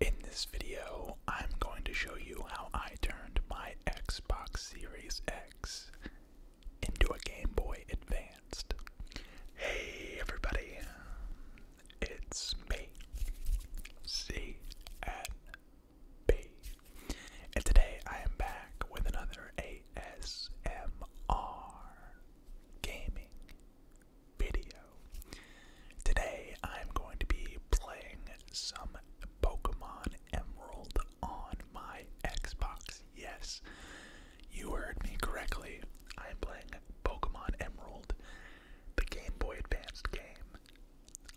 In this video, I'm going to show you how I turned my Xbox Series X into a Game Boy Advanced. Hey everybody, it's me, CNB, and today I am back with another ASMR gaming video. Today I'm going to be playing some Pokemon Emerald on my Xbox. Yes, you heard me correctly. I'm playing Pokemon Emerald, the Game Boy Advance game,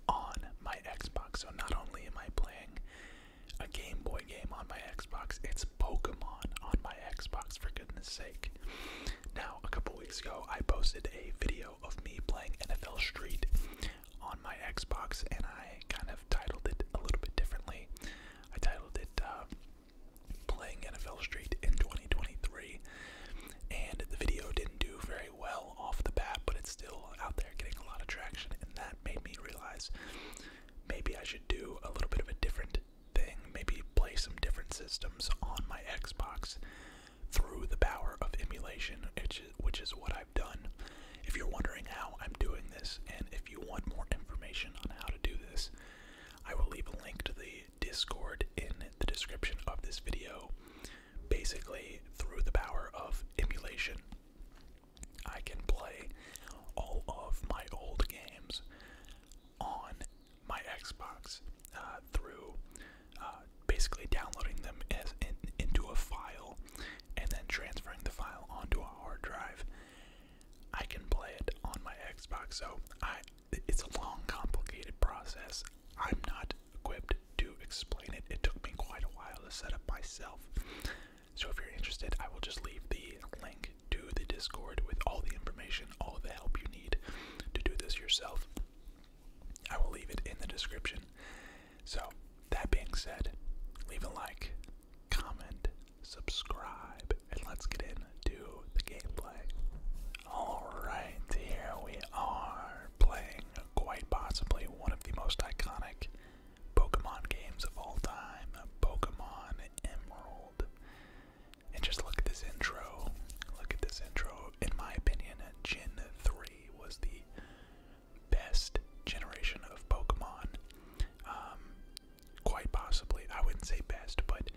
on my Xbox. So not only am I playing a Game Boy game on my Xbox, it's Pokemon on my Xbox, for goodness sake. Now, a couple weeks ago, I posted a video of me playing NFL Street on my Xbox, and I kind of titled it a little bit differently. I titled it uh, Playing NFL Street in 2023, and the video didn't do very well off the bat, but it's still out there getting a lot of traction, and that made me realize maybe I should do a little bit of a different thing, maybe play some different systems on my Xbox through the power of emulation, which is, what I've done. If you're wondering how I'm doing this, and if you want more information on how to do this, I will leave a link to the Discord in the description of this video. Basically, through the power of emulation, I can play all of my old games on my Xbox uh, through uh, basically downloading them into a file and then transferring the file onto a hard drive. I can play it on my Xbox, so I, it's a long, complicated process. I'm not equipped to explain it. It took me quite a while to set up myself. So if you're interested, I will just leave the link to the Discord with all the information, all the help you need to do this yourself. I will leave it in the description. So, that being said, leave a like, comment, subscribe, and let's get into the gameplay. Alright, here we are playing quite possibly one of the most iconic Pokemon games of all time Pokemon Emerald. And just look at this intro. Look at this intro. In my opinion, Gen 3 was the best generation of Pokemon. Um, quite possibly. I wouldn't say best, but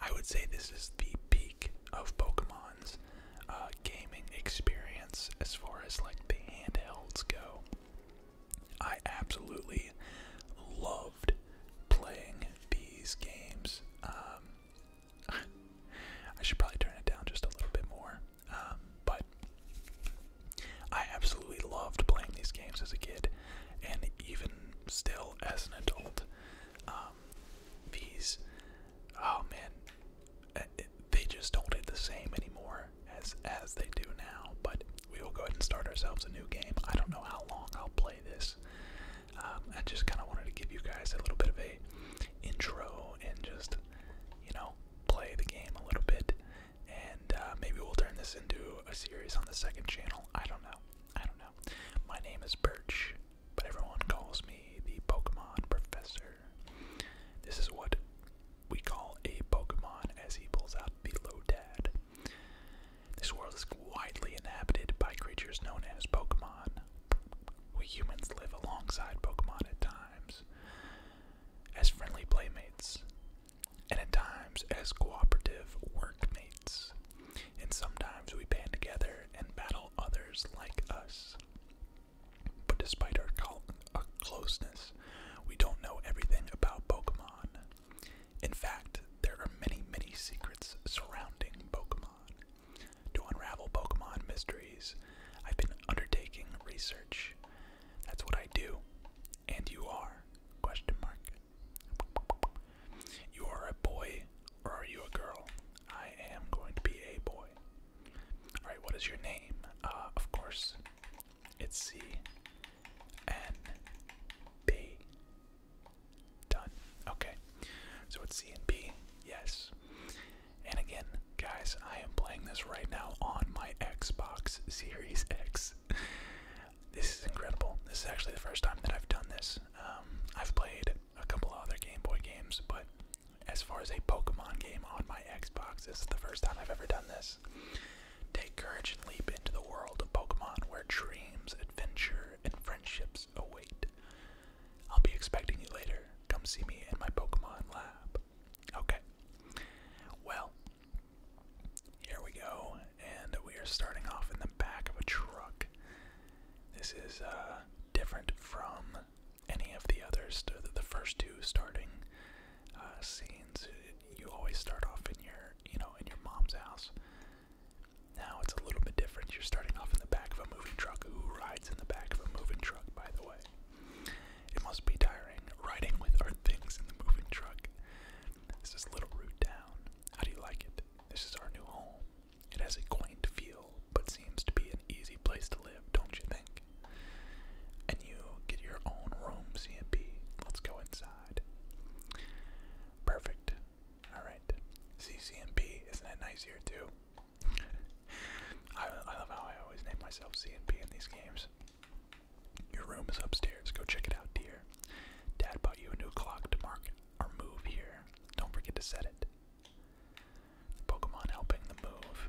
I would say this is the peak of Pokemon's uh, gaming experience as far as like the handhelds go. I absolutely loved playing these games. Um, I should probably turn it down just a little bit more. Um, but I absolutely loved playing these games as a kid, and even still as an adult. Um, these, oh man, uh, they just don't hit the same anymore as as they do now. But we will go ahead and start ourselves a new game. I don't know how long I'll play this. Um, I just kind of wanted to give you guys a little bit of a intro and just you know play the game a little bit, and uh, maybe we'll turn this into a series on the second channel. I don't know. I don't know. My name is Birch, but everyone calls me the Pokemon Professor. This is what we call a Pokemon as he pulls out the Lotad. This world is widely inhabited by creatures known as Pokemon. We humans live alongside Pokemon at times as friendly playmates, and at times as cooperative workmates. And sometimes we band together and battle others like us. But despite our, uh, closeness, we don't know everything about Pokemon. In fact, there are many, many secrets surrounding Pokemon. To unravel Pokemon mysteries, I've been undertaking research. That's what I do. And you are? Question mark. You are a boy or are you a girl? I am going to be a boy. Alright, what is your name? Uh, of course, it's C N B Done. Okay. So it's C and B. Yes. And again, guys, I am playing this right now on my Xbox Series X. this is incredible. This is actually the first time that I've done this. Um, I've played a couple other Game Boy games, but as far as a Pokemon game on my Xbox, this is the first time I've ever done this. Take courage and leap into the world of Pokemon where dreams, adventure, and friendships answers await. Oh, I'll be expecting you later. Come see me in my Pokemon lab. Okay. Well, here we go, and we are starting off in the back of a truck. This is uh, different from any of the others, the first two starting uh, scenes. You always start off in your, you know, in your mom's house. Now it's a little bit different. You're starting off in the back of a moving truck. Who rides in the back of a moving truck, by the way? It must be tiring riding with our things in the moving truck. This is Little Root Town. How do you like it? This is our new home. It has a quaint feel, but seems to be an easy place to live, don't you think? And you get your own room, CMP. Let's go inside. Perfect. Alright. CCNP, isn't that nicer too? I, I love how I always name myself CNP in these games. Your room is upstairs. Go check it out, dear. Dad bought you a new clock to mark our move here. Don't forget to set it. Pokemon helping the move.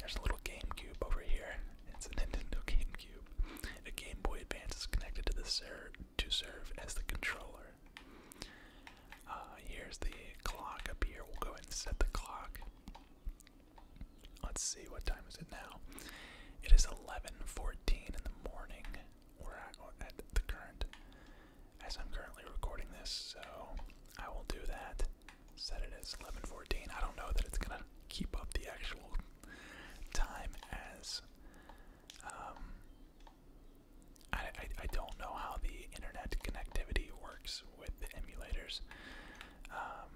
There's a little GameCube over here. It's a Nintendo GameCube. A Game Boy Advance is connected to the ser to serve as the controller. Uh, here's the clock up here. We'll go ahead and set the clock. Let's see what time is it now. It is 11:14 in the morning. We're at, the current, as I'm currently recording this, so I will do that. Set it as 11:14. I don't know that it's gonna keep up the actual time as um, I, I, don't know how the internet connectivity works with the emulators. Um,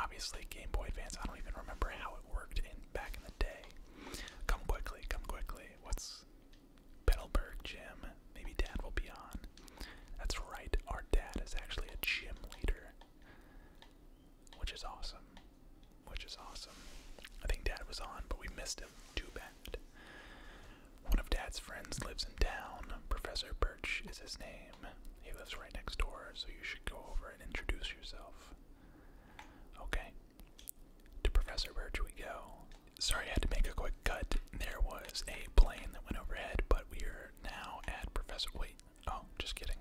obviously, Game Boy Advance, I don't even remember how it worked in back in the day. Come quickly, come quickly. What's Petalburg Gym? Maybe Dad will be on. That's right, our dad is actually a gym leader, which is awesome which is awesome. I think Dad was on, but we missed him. Too bad. One of Dad's friends lives in town. Professor Birch is his name. He lives right next door, so you should go over and introduce yourself. Okay. To Professor Birch we go. Sorry, I had to make a quick cut. There was a plane that went overhead, but we are now at Professor. Wait, oh, just kidding.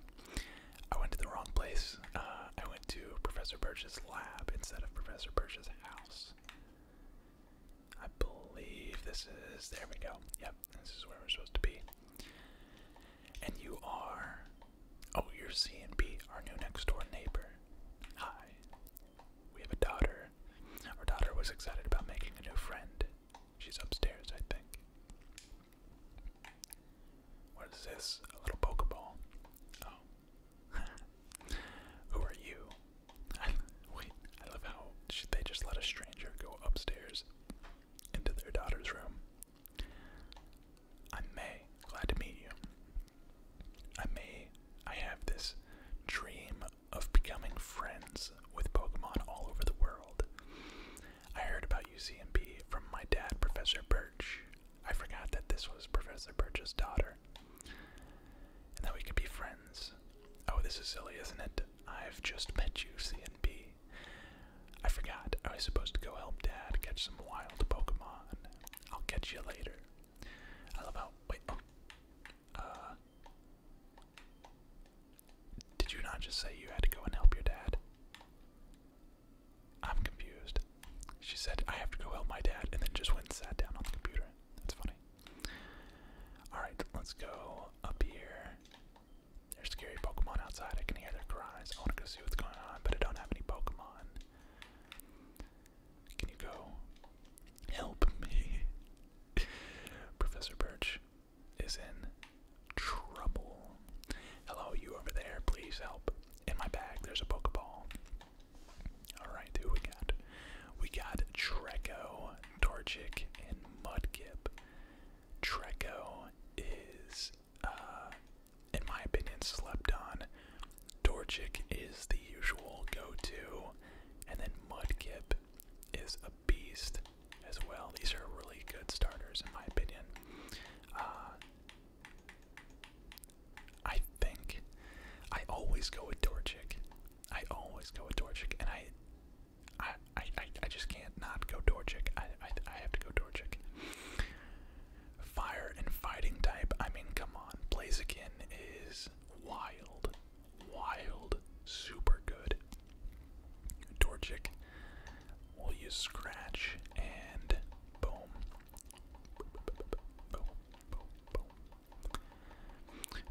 I went to the wrong place. Uh, I went to Professor Birch's lab instead of Professor Birch's house. I believe this is. There we go. Yep, this is where we're supposed to be. And you are. Oh, you're C and B, our new next door neighbor. Hi. We have a daughter. Our daughter was excited about making a new friend. She's upstairs, I think. What is this? A little Pokeball. Oh, Who are you? Wait, I love how they just let a stranger go upstairs into their daughter's room? I'm May. Glad to meet you. I may. I have this dream of becoming friends with Pokemon all over the world. I heard about UCMB from my dad, Professor Birch. I forgot that this was Professor Birch's daughter. And that we could be friends. Oh, this is silly, isn't it? I've just met you, C CNB. I forgot. I was supposed to go help Dad catch some wild Pokemon. I'll catch you later. I love how. Wait. Oh. Uh. Did you not just say you had to go and help your dad? I'm confused. She said, I have to go help my dad, and then just went and sat down on the computer. That's funny. Alright, let's go up here. There's scary Pokemon outside. I can hear their cries. I want to go see what's going on, but I don't have any Pokemon. Can you go help me? Professor Birch is in trouble. Hello, you over there. Please help. In my bag, there's a Pokeball. Alright, who we got? We got Treco, Torchic, and Mudkip. Treco is, uh, in my opinion, slept on. Torchic is the usual go to, and then Mudkip is a beast as well. These are really good starters, in my opinion. Uh, I think I always go with Dorchik. I always go with Dorchik, and I, I, I, I just can't not go Dorchik. I, I, I have to go Dorchik. Fire and fighting type. I mean, come on, Blaziken is wild, wild, super good. Dorchik. We'll use Scratch and boom.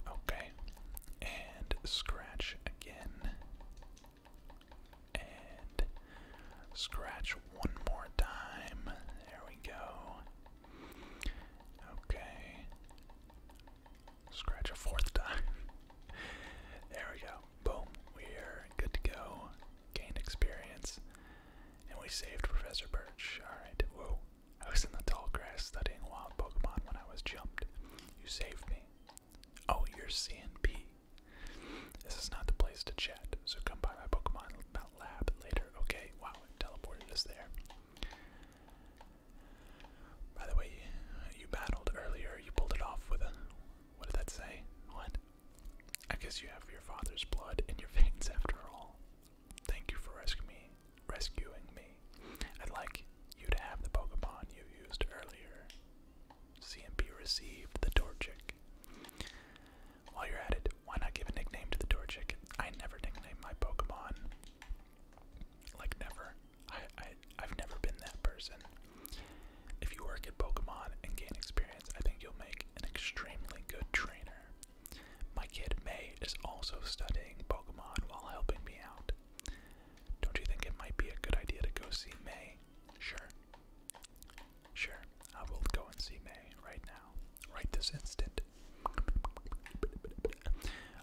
Okay. And scratch again. And scratch one more time. There we go. Okay. Scratch a fourth time. there we go. Boom, we're good to go. Gained experience. And we saved Professor Birch. Alright, whoa. I was in the tall grass studying wild Pokemon when I was jumped. You saved me. Oh, you're C and CNP. This is not the place to chat, so come by my Pokemon lab later. Okay, wow, it teleported us there. By the way, you battled earlier. You pulled it off with a. What did that say? What? I guess you have your father's blood in your veins after all. Thank you for rescuing me. Rescuing me. I'd like you to have the Pokemon you used earlier. CMP received the Torchic. While you're at it, why not give a nickname to the Torchic? I never nickname my Pokemon. Like never. I I've never been that person. If you work at Pokemon and gain experience, I think you'll make an extremely good trainer. My kid May is also studying Pokemon while helping me out. Don't you think it might be a good idea to go see May? Sure. Sure, I will go and see May right now, right this instant.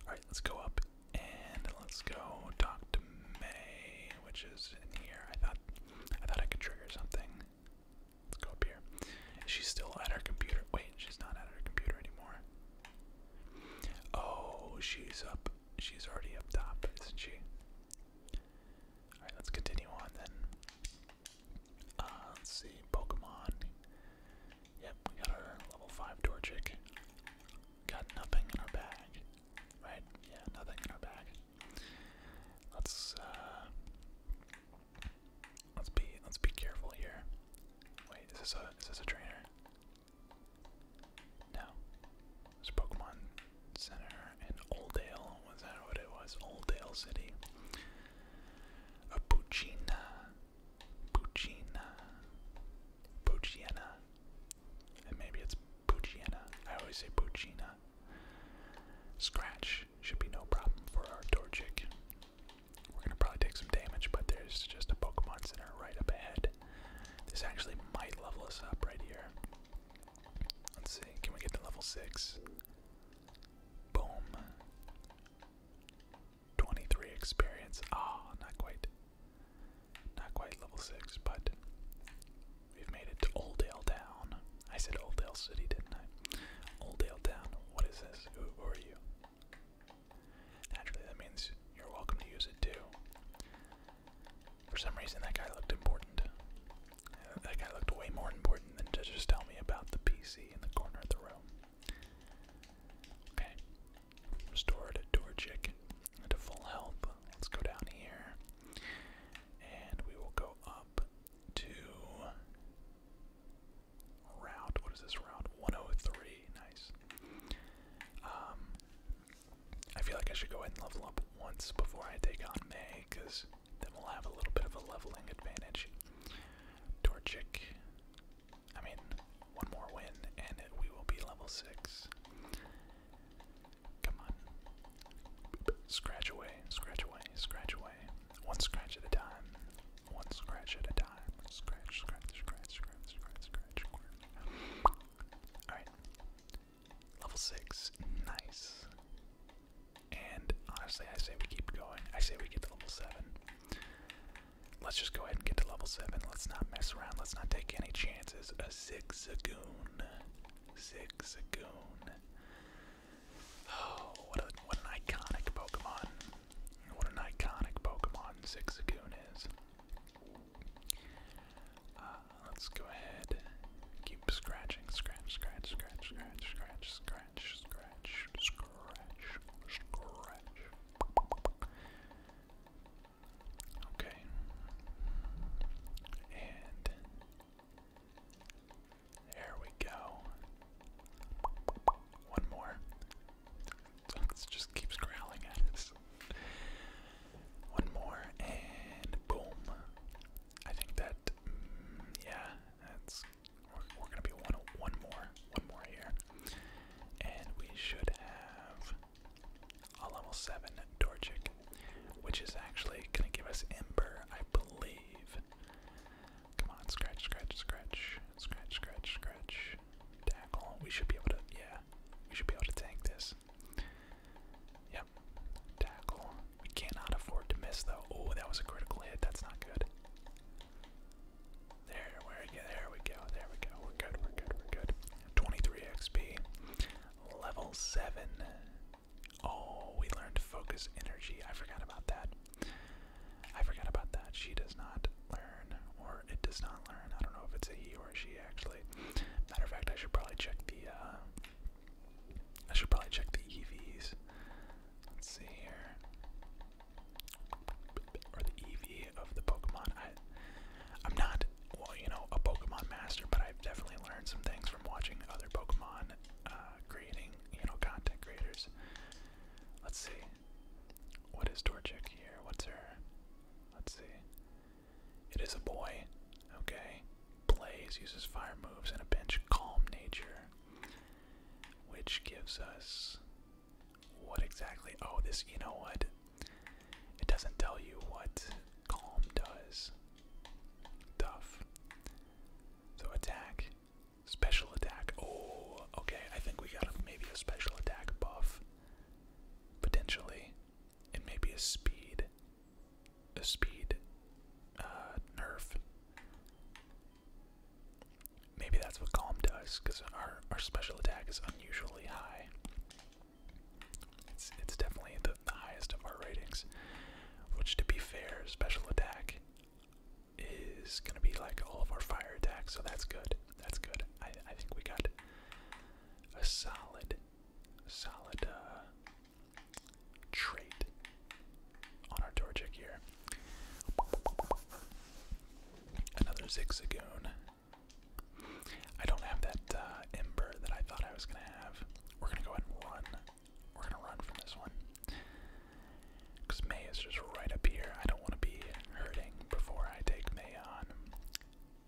Alright, let's go up and let's go talk to May which is in here. I thought I thought I could trigger something. Let's go up here. Is she still at her computer? Wait, she's not at her computer anymore. Oh, she's up. She's already up top, isn't she? Alright, let's continue on then. Uh, let's see, Pokemon. Yep, we got our level 5 Torchic. Got nothing in our bag. Right? Yeah, nothing in our bag. Let's uh let's be let's be careful here. Wait, is this a is this a trainer? No. There's Pokemon Center and Oldale. Was that what it was? Oldale City. A Puccina. Puccina. And maybe it's Pucciana. I always say Puccina. Scratch should be no problem for our Torchic. We're gonna probably take some damage, but there's just a Pokemon Center right up ahead. This actually might level us up right here. Let's see, can we get to level 6? Boom. 23 experience. Ah, not quite. Not quite level 6, but We've made it to Old Town. I said Old Ale City, didn't I? Old Ale Town. What is this? Who, are you? Naturally, that means you're welcome to use it too. For some reason, that guy looked important. Uh, that guy looked way more important than just tell me about the PC in the corner of the room. Okay. Restored Dorjic to full health. Let's go down here. And we will go up to route, what is this route? 103, nice. Um, I feel like I should go ahead and level up once before I take on May, because then we'll have a little bit of a leveling advantage. Torchic, I mean, one more win, and we will be level 6. Come on. Scratch away, scratch away, scratch away. One scratch at a time. One scratch at a time. Scratch, scratch, scratch, scratch, scratch, scratch. Alright. Level 6. Nice. And honestly, I say we keep going. I say we get to level 7. Let's just go ahead and get to level 7. Let's not mess around. Let's not take any chances. A zigzagoon. Zigzagoon. Oh, what, a, what an iconic Pokemon. What an iconic Pokemon Zigzagoon is. Uh, let's go ahead. Keep scratching. Scratch, scratch, scratch, scratch, scratch, scratch, scratch, scratch, scratch. Okay. And there we go. One more. It just keeps growling at us. One more, and boom. I think that, mm, yeah, that's. we're gonna be one, one more, one more here, and we should have level 7 Doric, which is actually going to give us Ember, I believe. Come on, scratch, scratch, scratch, scratch, scratch, scratch. Tackle. We should be able to, yeah, we should be able to tank this. Yep. Tackle. We cannot afford to miss, though. Oh, that was a critical hit. That's not good. There, there we go, there we go. We're good, we're good, we're good. 23 XP, level 7. Oh, we learned focus energy. I forgot about that. I forgot about that. She does not learn, or it does not learn. I don't know if it's a he or a she actually. Matter of fact, I should probably check the. Uh, I should probably check the EVs. Let's see here. Or the EV of the Pokemon. I, I'm not well, you know, a Pokemon master, but I've definitely learned some things from watching other Pokemon uh, creating, you know, content creators. Let's see. What is Torchic here? What's her? Let's see. It is a boy. Okay. Plays, uses fire moves, and a bench calm nature. Which gives us. What exactly? Oh, this. You know what? It doesn't tell you what calm does. Tough. So attack. Special attack. Oh, okay. I think we got maybe a special attack buff. Potentially. And maybe a speed. A speed uh, nerf. Maybe that's what calm does, because our, our special attack is unusually high. It's it's definitely the, the highest of our ratings. Which to be fair, special attack is gonna be like all of our fire attacks, so that's good. That's good. I I think we got a solid solid uh trait on our Torchic here. Another Zigzagoon. I don't have that uh, ember that I thought I was gonna have. We're gonna go ahead and run. We're gonna run from this one. Because May is just right up here. I don't want to be hurting before I take May on.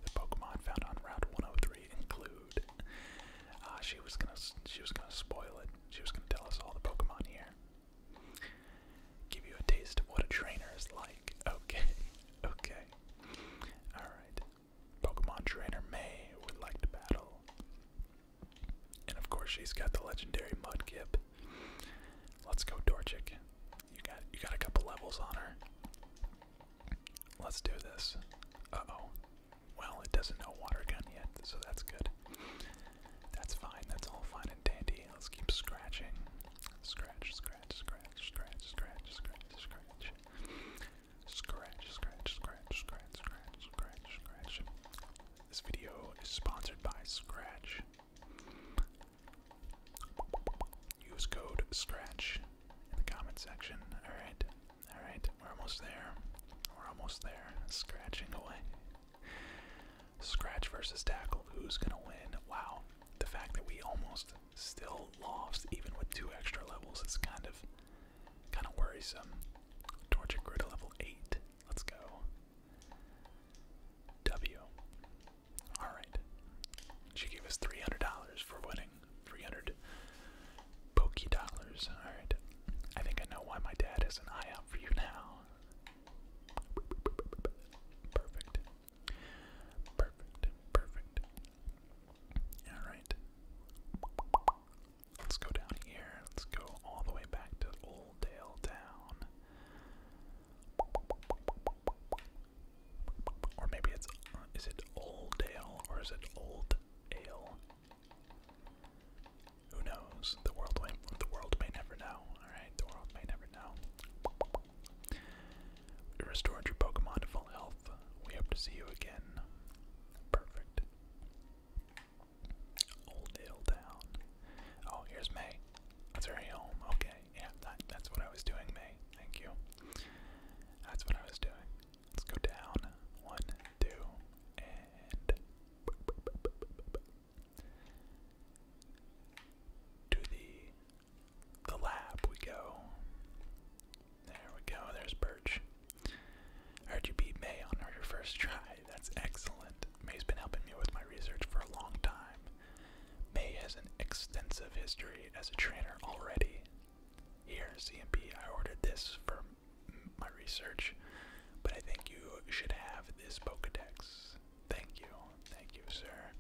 The Pokemon found on Route 103 include. Uh, she was gonna. She was gonna spoil it. She was gonna tell us all the Pokemon here. Give you a taste of what a trainer is like. Okay. Okay. All right. Pokemon Trainer May would like to battle. And of course she's got the legendary Mudkip. Let's go Dorchick. You got you got a couple levels on her. Let's do this. Uh-oh. Well, it doesn't know water gun yet, so that's good. That's fine, that's all fine and dandy. Let's keep scratching. Scratch, scratch, scratch, scratch, scratch, scratch, scratch. Scratch, scratch, scratch, scratch, scratch, scratch, scratch. This video is sponsored by Scratch. Use code Scratch in the comment section. Alright, alright, we're almost there. We're almost there. Scratching away. Scratch versus tackle. Who's gonna win? Wow. The fact that we almost still lost even with two extra levels. It's kind of kind of worrisome. Torchic grew to level eight. Let's go. W. Alright. She gave us three hundred dollars for winning. Three hundred pokey dollars. Alright. I think I know why my dad has an eye out for you now. Perfect. Perfect. Perfect. Alright. Let's go down here. Let's go all the way back to Old Dale Town. Or maybe it's. Uh, is it Old Dale or is it Old Ale? Who knows? The world may, the world may never know. Alright, the world may never know. We restored your Pokemon to full health. We hope to see you again. Perfect. Old Hill Town. Oh, here's May. That's her home. Okay, yeah, that's what I was doing, May. Thank you. That's what I was doing. Let's go down. One, two, and to the the lab we go. There we go, there's Birch. Heard you beat May on her first try. That's excellent. May's been helping me with my research for a long time. May has an extensive history as a trainer already. Here, CMP, I ordered this for my research, but I think you should have this Pokedex. Thank you, thank you, sir.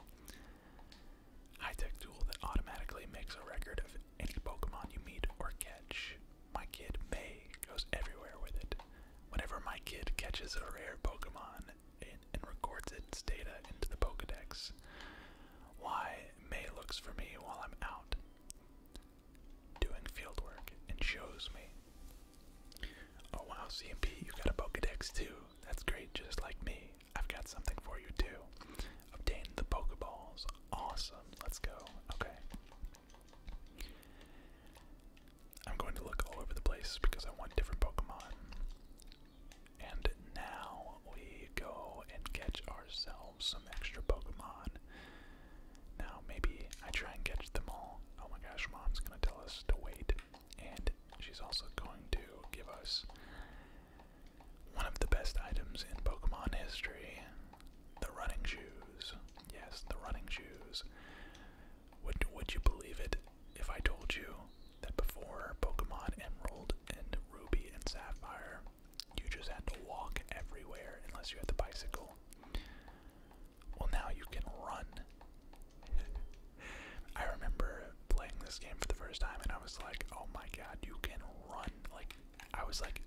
High tech tool that automatically makes a record of any Pokemon you meet or catch. My kid May goes everywhere with it. Whenever my kid catches a rare Pokemon and, records its data into the Pokedex, why May looks for me while I'm out doing field and shows me. Oh wow, CMP, you got a Pokedex too that's great, just like me. I've got something for you too. Obtain the Pokeballs. Awesome. Let's go. Okay. I'm going to look all over the place because I want different Pokemon. And now we go and catch ourselves some extra Pokemon. Now, maybe I try and catch them all. Oh my gosh, mom's gonna tell us to wait. And she's also going to give us one of the best items in Pokemon history the running shoes. Yes, the running shoes. Would, would you believe it if I told you that before Pokemon Emerald and Ruby and Sapphire, you just had to walk everywhere unless you had the bicycle? Well, now you can run. I remember playing this game for the first time and I was like, oh my god, you can run. Like, I was like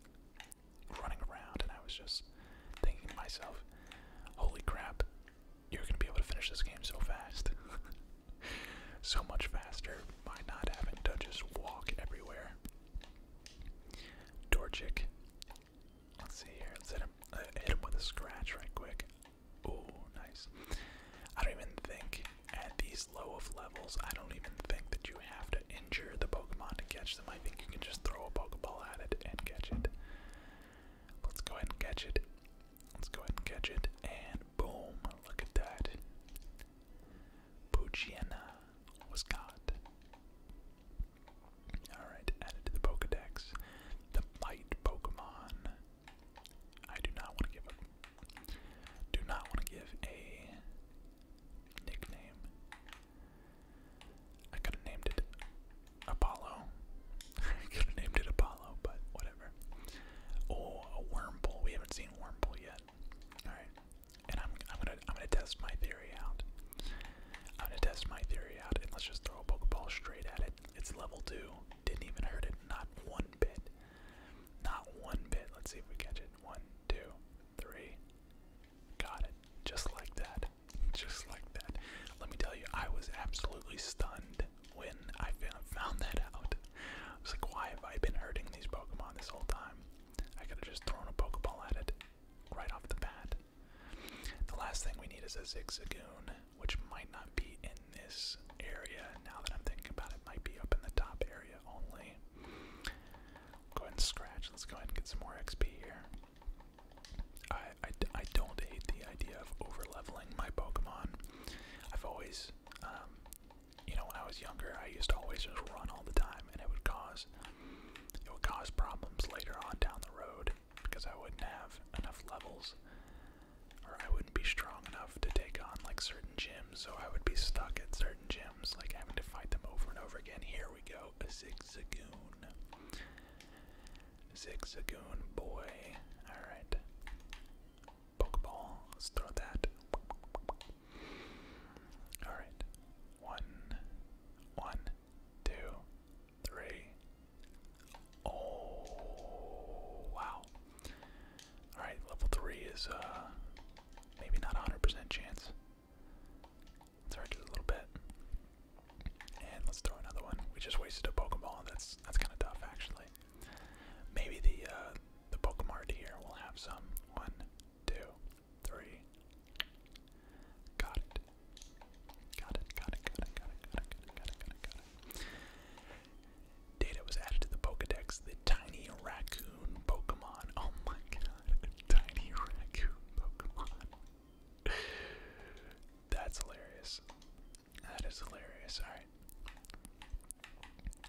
running around and I was just thinking to myself, holy crap, you're going to be able to finish this game so fast. so much faster by not having to just walk everywhere. Dorchik. Let's see here. Let's uh, hit him with a scratch right quick. Oh, nice. I don't even think at these low of levels, I don't even think that you have to injure the Pokemon to catch them. I think you can just throw a Pokeball at it and catch it. Let's go ahead and catch it. Let's go ahead and catch it. And boom, look at that. Puchiana was caught. Alright, added to the Pokedex. The Bite Pokemon. I do not want to give up do not want to give a nickname. I could have named it Apollo. could have named it Apollo, but whatever. Oh, a wormhole. We haven't seen wormhole yet. All right, and I'm I'm gonna I'm gonna test my theory out. I'm gonna test my theory out, and let's just throw a Pokeball straight at it. It's level two. Didn't even hurt it, not one bit. Not one bit. Let's see if we catch it. One, two, three. Got it. Just like that. Just like that. Let me tell you, I was absolutely stunned when I found that out. I was like, why have I been hurting these Pokemon this whole time? I could have just thrown a Pokeball at it right off the bat. The last thing we need is a Zigzagoon, which might not be in this area. Now that I'm thinking about it, might be up in the top area only. Go ahead and scratch. Let's go ahead and get some more XP here. I, I, don't hate the idea of overleveling my Pokemon. I've always, um, you know, when I was younger, I used to always just run all the time, and it would cause it would cause problems later on down the road because I wouldn't have enough levels or I wouldn't be strong enough to take on like certain gyms, so I would be stuck at certain gyms, like having to fight them over and over again. Here we go, zigzagoon. Zigzagoon boy. Alright. Pokeball, let's throw that. Alright. One, one, two, three. Oh, wow. Alright, level 3 is uh, maybe not 100% chance. Let's hurt it a little bit. And let's throw another one. We just wasted a Pokeball. That's that's kind of tough, actually. Maybe the uh, the Pokemart here will have some. One, two, three. Got it. Got it. Got it. Got it. Got it. Got it. Got it. Got it. Got it. Got it. Data was added to the Pokedex, the tiny raccoon Pokemon. Oh my god, tiny raccoon Pokemon. That's hilarious. That is hilarious. Alright.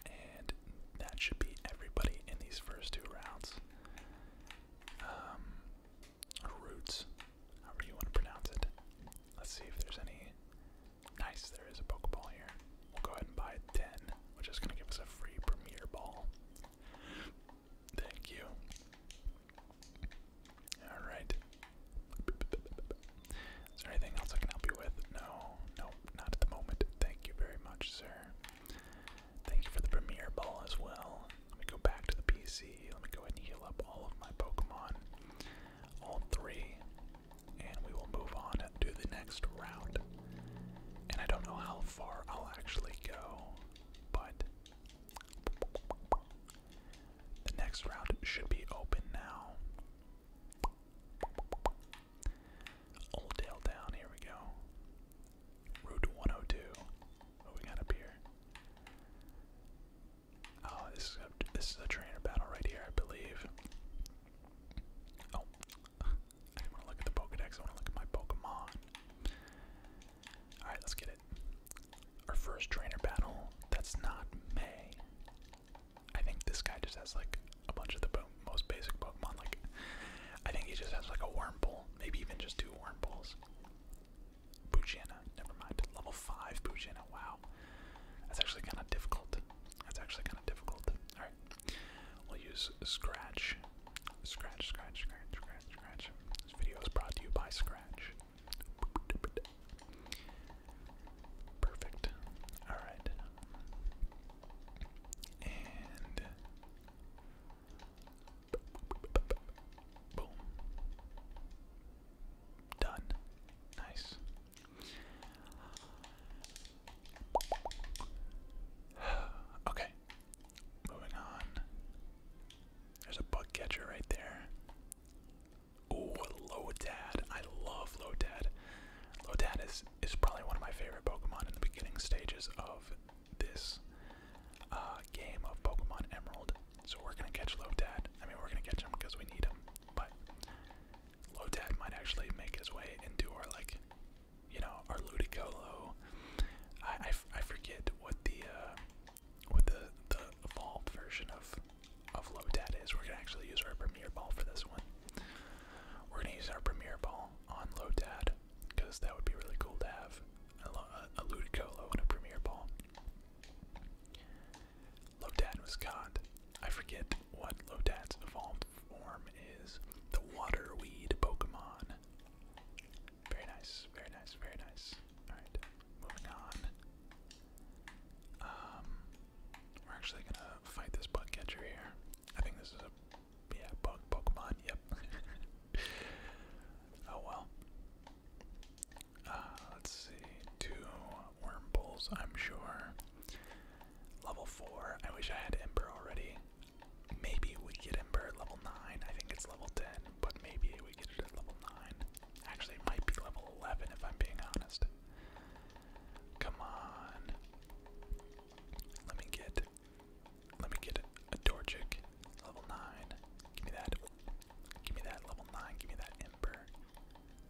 And that should be everybody in these first two rounds. Um, roots, however you want to pronounce it. Let's see if there's any Nice, there is a Pokeball here. We'll go ahead and buy 10, which is going to give us a free Premier Ball. Thank you. Alright. Is there anything else I can help you with? No, no, not at the moment. Thank you very much, sir. Thank you for the Premier Ball as well. Let me go back to the PC. Let me go ahead and heal up all of my Pokemon. All three and we will move on to the next round. And I don't know how far I'll actually go, but the next route should be open now. Old Dale Down, here we go. Route 102. What we got up here? Oh, this is a, trainer battle right here, I believe. Oh, I want to look at the Pokedex. I want to look at my Pokemon. All right, let's get it. Our first trainer battle. That's not May. I think this guy just has like a bunch of the most basic Pokemon. Like, I think he just has like a Wormpool, maybe even just two Wormpool. Bugiana, never mind. Level 5 Bugiana, wow. That's actually kind of difficult. That's actually kind of difficult. Alright. We'll use Scratch. Scratch, Scratch, Scratch, Scratch, Scratch. This video is brought to you by Scratch. Perfect. Alright. And. Done. Nice. okay, moving on. There's a bug catcher right there. Low Dad! I love Lotad. Lotad is is probably one of my favorite Pokemon in the beginning stages of this uh, game of Pokemon Emerald. So we're gonna catch Low Dad. I mean, we're gonna catch him because we need him. But Lotad might actually make his way into our like, you know, our Ludicolo. I, I, forget what the uh, what the the evolved version of of Lotad is. We're gonna actually use our Premier Ball for this one. We're gonna use our Premier Ball on Lotad because that would be really cool to have a, a Ludicolo and a Premier Ball. Lodad was caught. I forget what Lodad's evolved form is. The water weed Pokemon. Very nice, very nice, very nice. Alright, moving on. Um we're actually gonna fight this bug catcher here. I think this is a yeah, bug Pokemon, yep. oh well. Uh, let's see, two worm bowls, I'm sure. Level four. I wish I had Ember already. Maybe we get Ember level nine. I think it's level ten, but maybe we get it at level nine. Actually, it might be level eleven if I'm being honest. Come on. Let me get. Let me get a Dorchic, level nine. Give me that. Give me that level nine. Give me that Ember.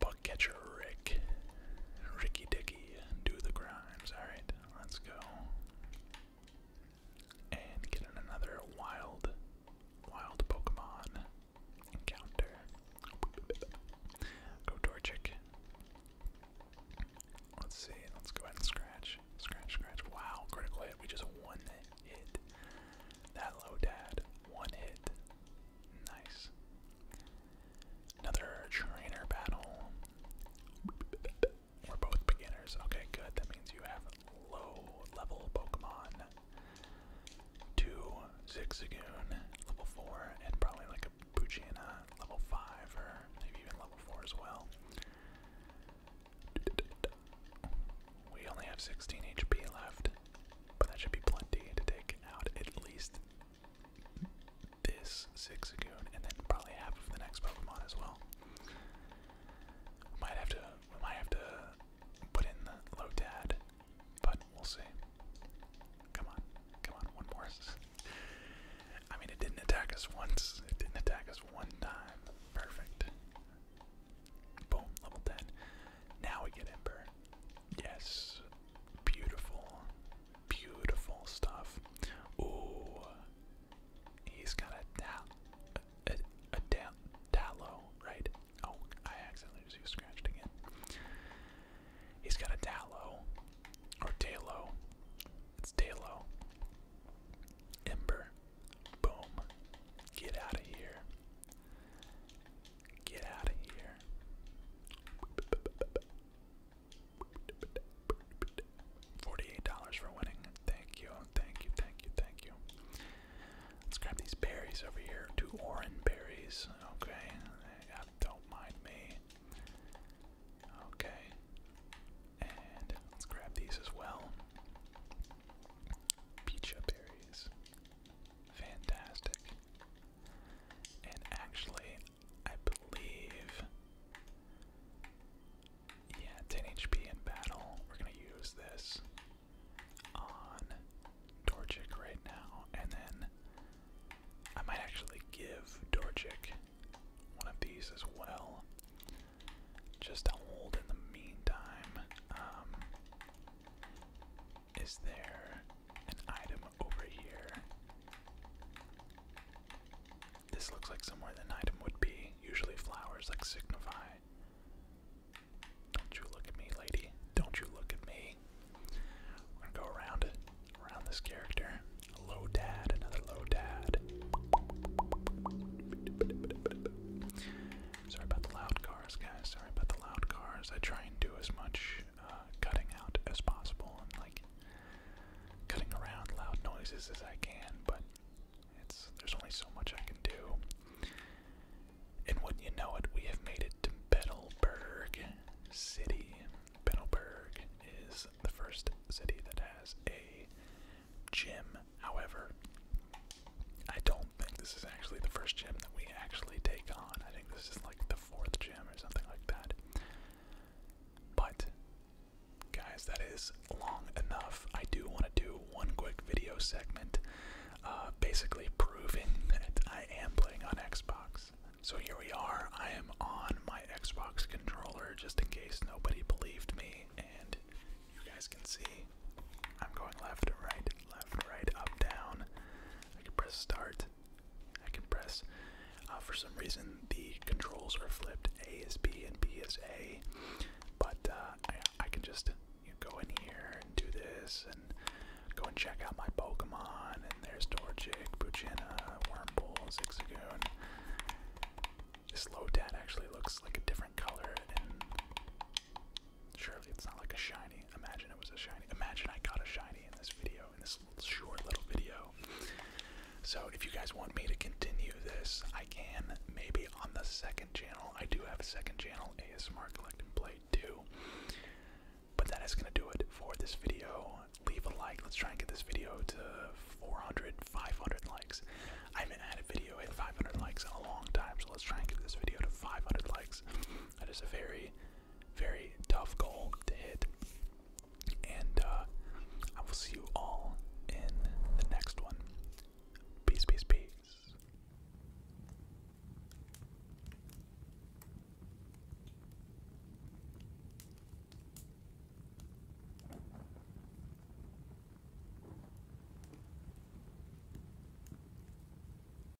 Buck Rick. Ricky Dicky, do the grimes. Alright, let's go. And get another wild, wild Pokemon encounter. Go Torchic. Let's see, let's go ahead and scratch. Scratch, scratch. Wow, critical hit. We just one hit. That low dad. One hit. Nice. Another trainer battle. We're both beginners. Okay, good. That means you have low level Pokemon. Two Zigzagoon, level 4, and probably like a Poochyena, level 5, or maybe even level 4 as well. We only have 16 HP left, but that should be plenty to take out at least this Sixagoon, and then probably half of the next Pokemon as well. We might have to we might have to put in the Lotad, but we'll see. Come on, come on, one more. I mean, it didn't attack us once. It didn't attack us one time. Perfect. Boom, level 10. Now we get Ember. Yes, Beautiful, beautiful stuff. Ooh, he's got a a, a da right? Oh, I accidentally scratched again. He's got a Dallow, or Dalo. It's Dalo. Ember, boom, get out of here. Get out of here. Forty-eight dollars for winning. Thank you, thank you, thank you, thank you. Let's grab these berries over here. Two orange berries. Okay, don't mind me. Okay, and let's grab these as well. Peach berries. Fantastic. And actually, I believe. Yeah, 10 HP in battle. We're gonna use this on Doric right now, and then I might actually give Doric one of these as well, just to hold in the meantime. Um, is there an item over here? This looks like somewhere an item would be. Usually flowers like signify. Don't you look at me, lady. Don't you look at me. We're gonna go around it, around this character. Low dad, another low dad. Sorry about the loud cars, guys. Sorry about the loud cars. I try and do as much uh, cutting out as possible and like cutting around loud noises as I can, but it's there's only so much I can do. And when you know it, we have made it to Betelberg City. Betelberg is the first city that has a gym. However, I don't think this is actually the first gym that we actually take on. I think this is like the fourth gym or something like that. But, guys, that is long enough. I do want to do one quick video segment uh, basically proving that I am playing on Xbox. So here we are. I am on my Xbox controller just in case nobody believed me. And you guys can see I'm going left, right, left, right, up, down. I can press start. I can press. Uh, for some reason, the controls are flipped. A is B and B is A. But uh, I, can just go in here and do this and go and check out my Pokemon. And there's Dorchick, Puchina, Wormpool, Zigzagoon. This Lotad actually looks like a different color Surely it's not like a shiny. Imagine it was a shiny. Imagine I got a shiny in this video, in this little short little video. So if you guys want me to continue this, I can. Maybe on the second channel. I do have a second channel, ASMR Collect and Play 2. But that is going to do it for this video. Leave a like. Let's try and get this video to 400, 500 likes. I haven't had a video at 500 likes in a long time, so let's try and get this video to 500 likes. That is a very very tough goal to hit. And uh, I will see you all in the next one. Peace, peace, peace.